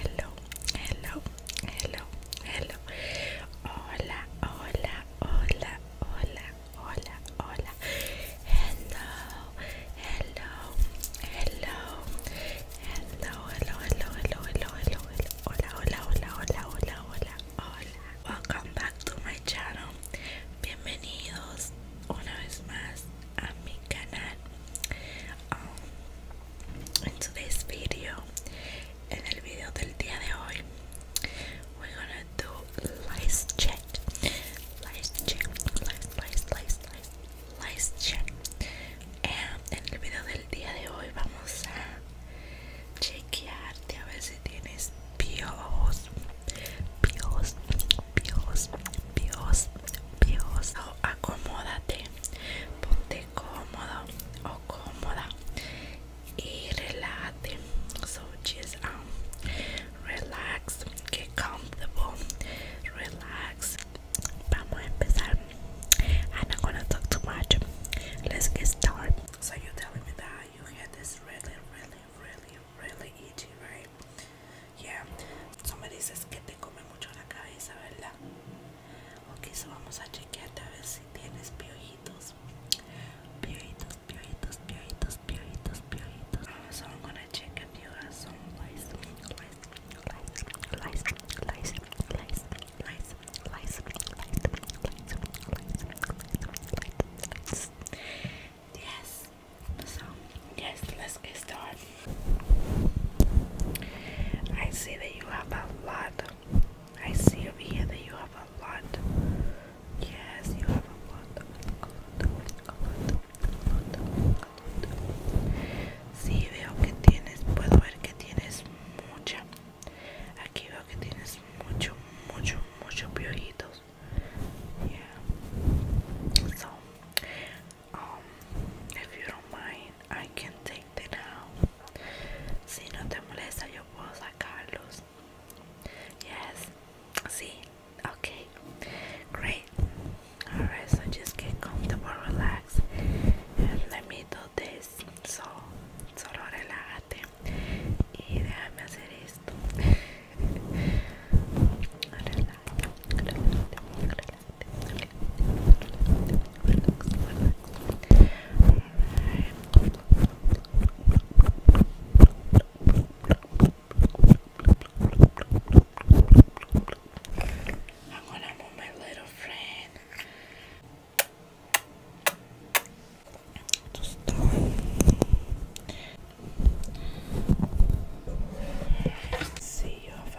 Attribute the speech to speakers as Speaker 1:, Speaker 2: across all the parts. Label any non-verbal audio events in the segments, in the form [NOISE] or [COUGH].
Speaker 1: Hello, hello, hello, hello. Hola, hola, hola, hola, hola, hola. Hello, hello, hello, hello, hello, hello, hello, hello, hello. Hola, hola, hola, hola, hola, hola, hola. Welcome back to my channel. Bienvenidos una vez más a mi canal um, today's video en el video del día de hoy we're gonna do lice check lice check lice lice lice lice lice check Y en el video del día de hoy vamos a chequearte a ver si tienes piojos piojos piojos piojos piojos oh, acomódate ponte cómodo o cómoda y relájate. So just um, relax, get comfortable, relax. Vamos a empezar. I'm not gonna talk too much. Let's get started. So you're telling me that you had this really, really, really, really itchy, right? ya, somebody me dices que te come mucho la cabeza, ¿verdad? Ok, vamos a chequearte a ver si tienes piojitos. Piojitos, piojitos, piojitos, piojitos, piojitos. yes, let's get started. I see that you have a lot. I see over here that you have a lot. Yes, you have a lot. Sí, veo que tienes, puedo ver que tienes mucha. Aquí veo que tienes mucho, mucho, muchos piojitos. Yeah um, if you don't mind, I can take the now. Si no te molesta, yo puedo sacarlos. Yes. See? Okay. Great. Alright, so just get comfortable, relax. And let me do this. So, solo relájate. Y déjame hacer esto. [LAUGHS] Relax. I'm gonna put my little friend to start. Let's see your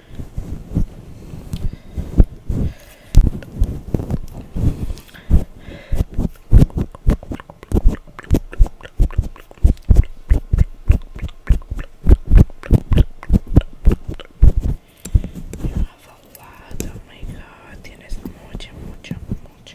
Speaker 1: You have a lot, oh my god, tienes mucha, mucha, mucha.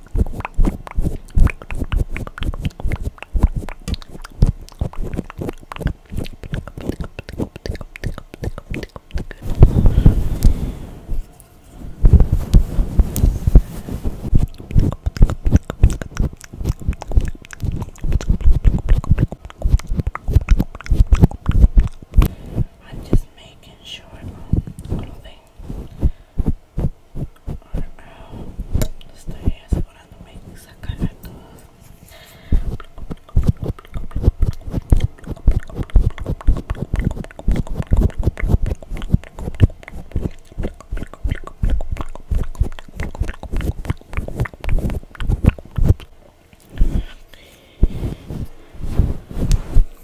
Speaker 1: I'm just making sure my clothing Estoy asegurándome de sacar a todos.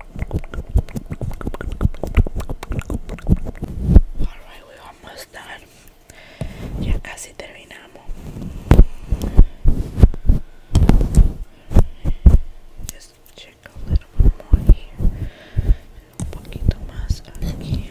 Speaker 1: Alright, we're almost done. Ya casi terminamos. Just check a little bit more here. Un poquito más aquí.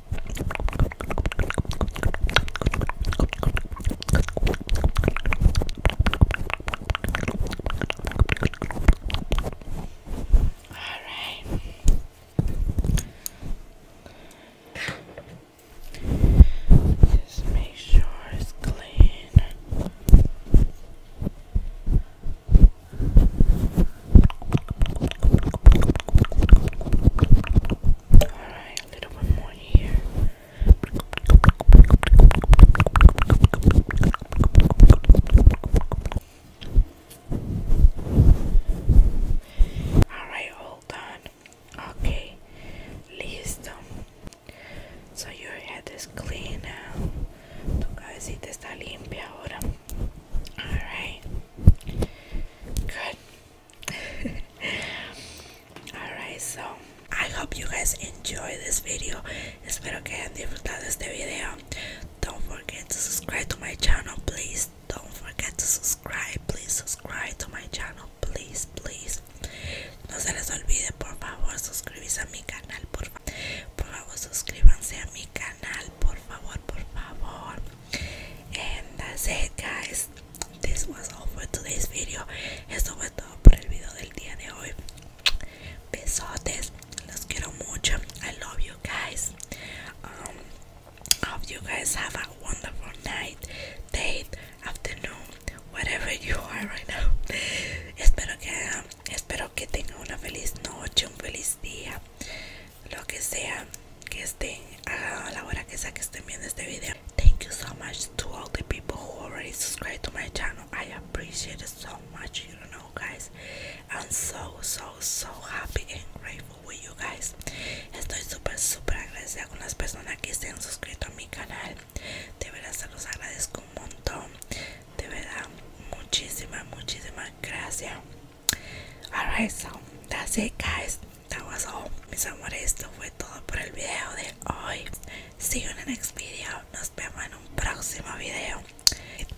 Speaker 1: right. Just make sure it's clean. Alright, a little bit more here. Alright, hold on. Okay, listo. So your head is clean now. Tu cabecita está limpia ahora. Alright. Good. [LAUGHS] Alright, so I hope you guys enjoy this video. Espero que hayan disfrutado este video. Don't forget to subscribe to my channel, please. Don't forget to subscribe. Please subscribe to my channel, please, please. No se les olvide, por favor, suscribirse a mi canal, por favor. Por favor, suscríbanse a mi canal por favor por favor and that's it guys this was all for today's video eso fue todo por el video del día de hoy besotes los quiero mucho I love you guys um, hope you guys have a wonderful night date, afternoon whatever you are right now espero que espero que tengan una feliz noche un feliz día lo que sea que estén a la hora que sea que estén viendo este video thank you so much to all the people who already subscribed to my channel i appreciate it so much you know guys i'm so so so happy and grateful with you guys estoy super super agradecida con las personas que se han suscrito a mi canal de verdad se los agradezco un montón de verdad muchísimas muchísimas gracias Alright, so that's it, guys. That was all. Mis amores, esto fue todo por el video de hoy. See you in next video. Nos vemos en un próximo video.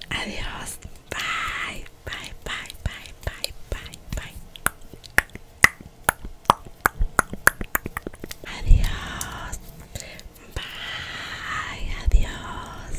Speaker 1: Adiós. Bye, bye, bye, bye, bye, bye, bye. Adiós. Bye, adiós.